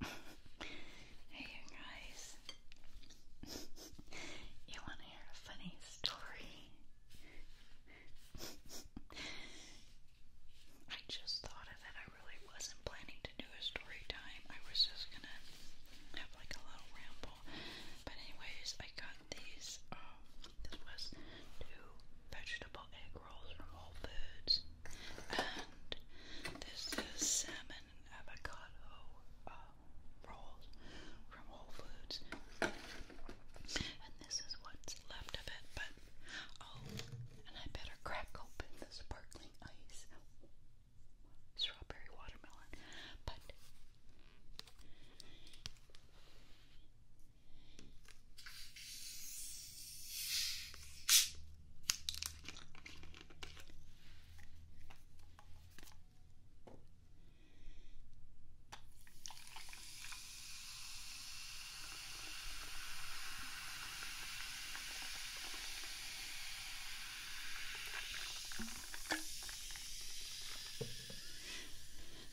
hey guys. you wanna hear a funny story? I just thought of I really wasn't planning to do a story time. I was just gonna have like a little ramble. But anyways, I got these. Um, this was two vegetable egg rolls from Whole Foods. And this is salmon and avocado uh, rolls from Whole Foods. And this is what's left of it. But oh, and I better crack open this sparkling ice strawberry watermelon. But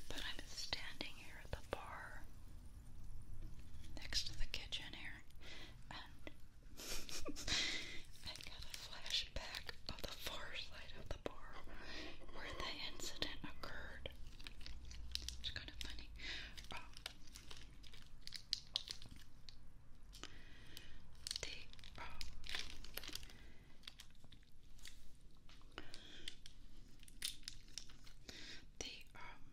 but I'm standing here the bar next to the kitchen here, and I got a flashback of the far side of the bar where the incident occurred. It's kind of funny. Um, um, they um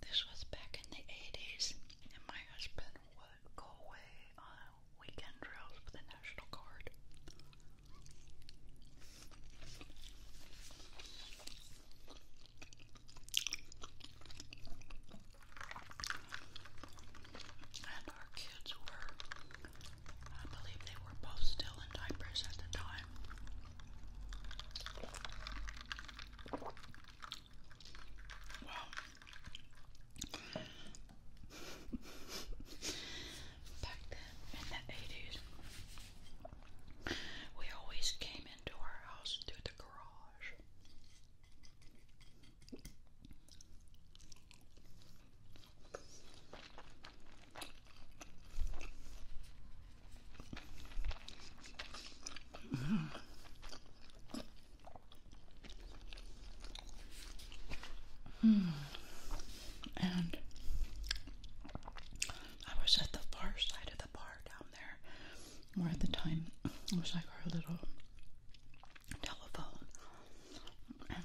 This was back in the eighties and my husband would go away on weekend drills with the National Guard. And our kids were, I believe they were both still in diapers at the time. Well, back in the 80s, we always came in into our house through the garage. Mm. And I was at the far side of the bar down down there. Or at the time, it was like our little telephone and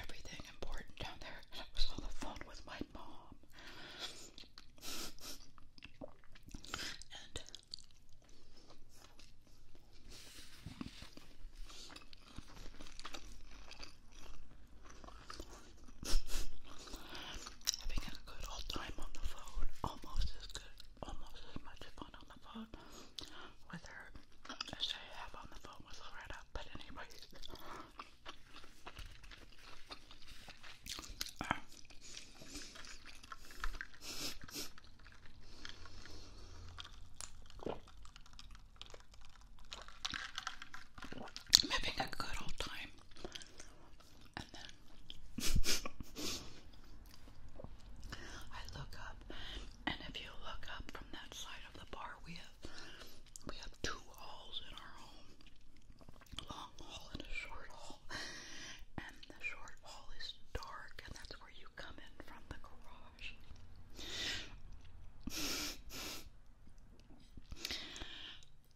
everything important down there. I was on the phone with my mom. And Having a good old time on the phone, almost as good, almost as much fun on the phone with her as I have on the phone with Loretta. But anyway, um, I'm having a good old time and then I look up, and if you look up from that side of the bar, we have we have two halls in our home. Long hall and a short hall. And the short hall is dark, and that's where you come in from the garage.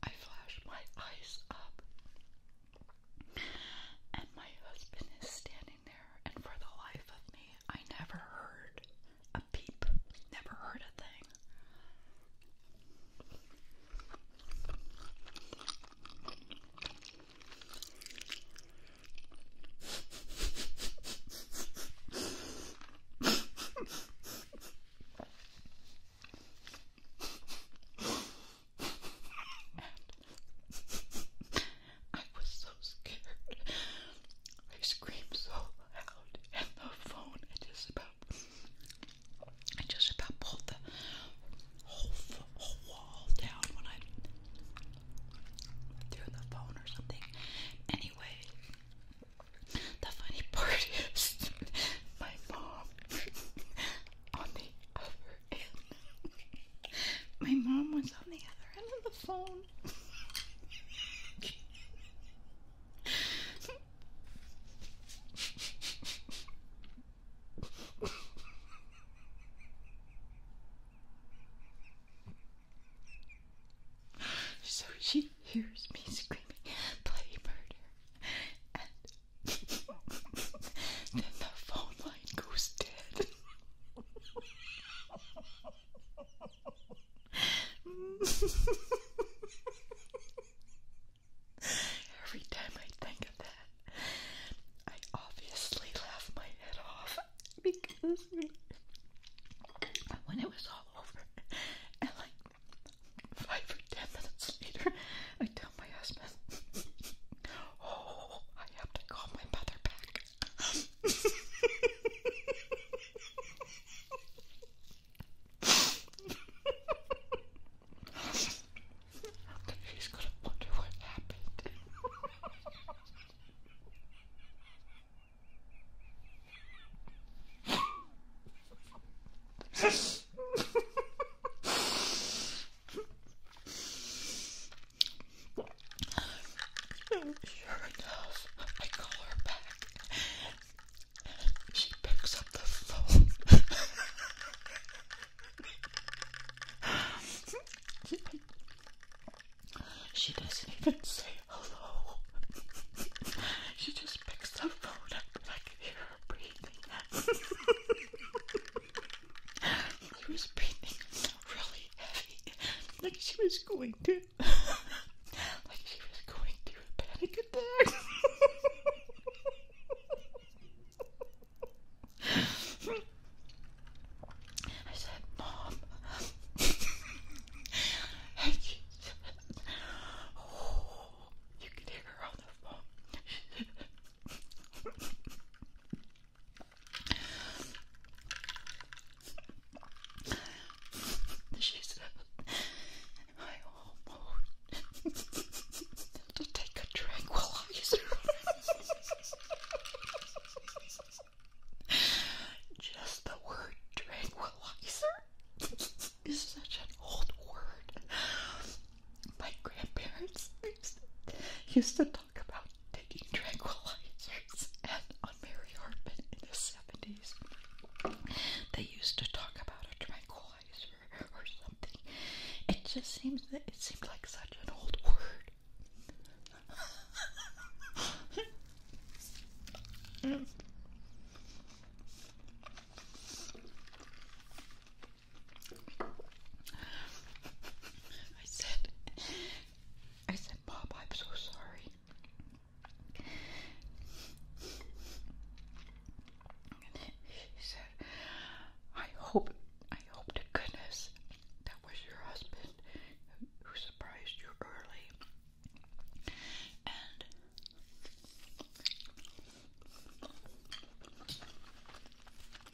I flash my eyes up, and my husband is standing there. And for the life of me, I never heard a peep, never heard a thing. I was so scared. I screamed so loud, and the phone I just about I just about pulled the whole wall down when I threw the phone or something. Anyway, the funny part is my mom on the other end. My mom was on the other end of the phone. So she hears me screaming, play murder, and then the phone line goes dead. Every time I think of that, I obviously laugh my head off because when it was all over, and like Five or ten minutes later, I tell my husband, Oh, I have to call my mother back. She's gonna wonder what happened sure enough, I call her back. She picks up the phone. she doesn't even say hello. she just picks the phone up and I can hear her breathing. she was breathing really heavy. Like she was going to like she was going through a panic attack. I said, Mom, I, oh, you can hear her on the phone. She's I almost to take a tranquilizer. Just the word tranquilizer it's such an old word. My grandparents used to, used to talk about taking tranquilizers and on Mary Hartman in the 70s. They used to talk about a tranquilizer or something. It just seems that it seemed like such an old word. I said, I said, Bob, I'm so sorry. And he said, I hope, I hope to goodness that was your husband who surprised you early. And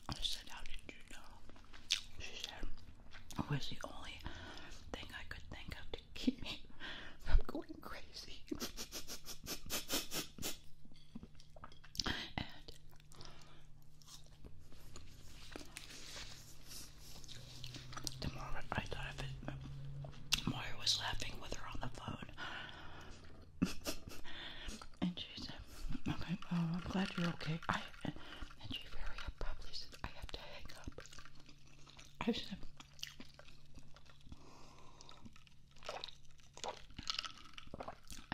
I said, How did you know? She said, It was the only thing I could think of to keep me from going crazy. The more I thought of it, more was laughing with her on the phone. and she said, "Okay, I'm glad you're okay." and she very abruptly said, "I have to hang up." I said.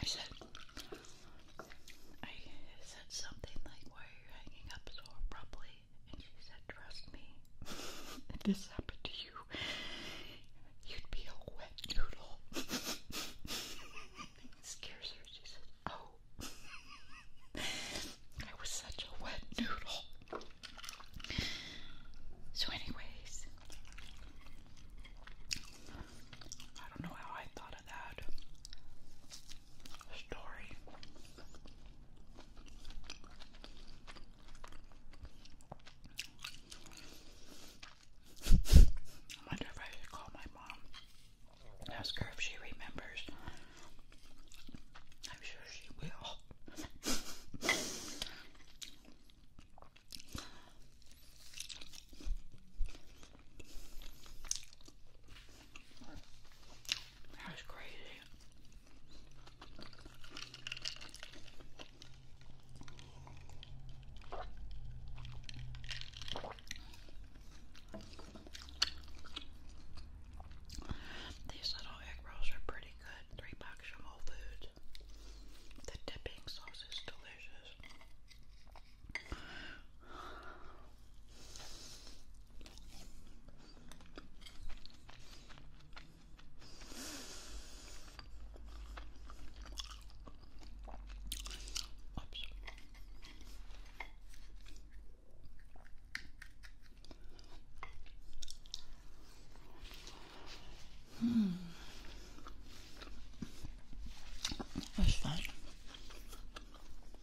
I said, something like, are you hanging up so abruptly? And she said, Trust me, if this happened to you, you'd be a wet noodle. it scares her. She says, Oh, I was such a wet noodle. So, anyways, I don't know how I thought of that story. I wonder if I should call my mom and ask her if she remembers. I'm sure she will. That was crazy. These little egg rolls are pretty good. Three bucks from Whole Foods. The dipping sauce is delicious. Oops. Hmm. That's fine.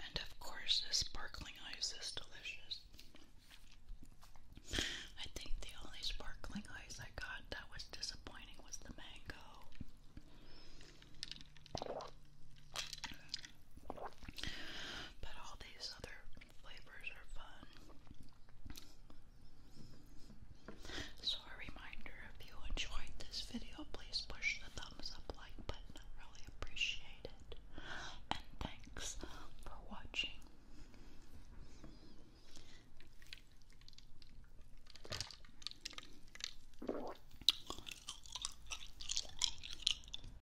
And of course, the sparkling ice is delicious. I think the only sparkling ice I got that was disappointing was the mango. But all these other flavors are fun. So a reminder, if you enjoyed this video, please push the thumbs up like button. really appreciate it. And thanks for watching.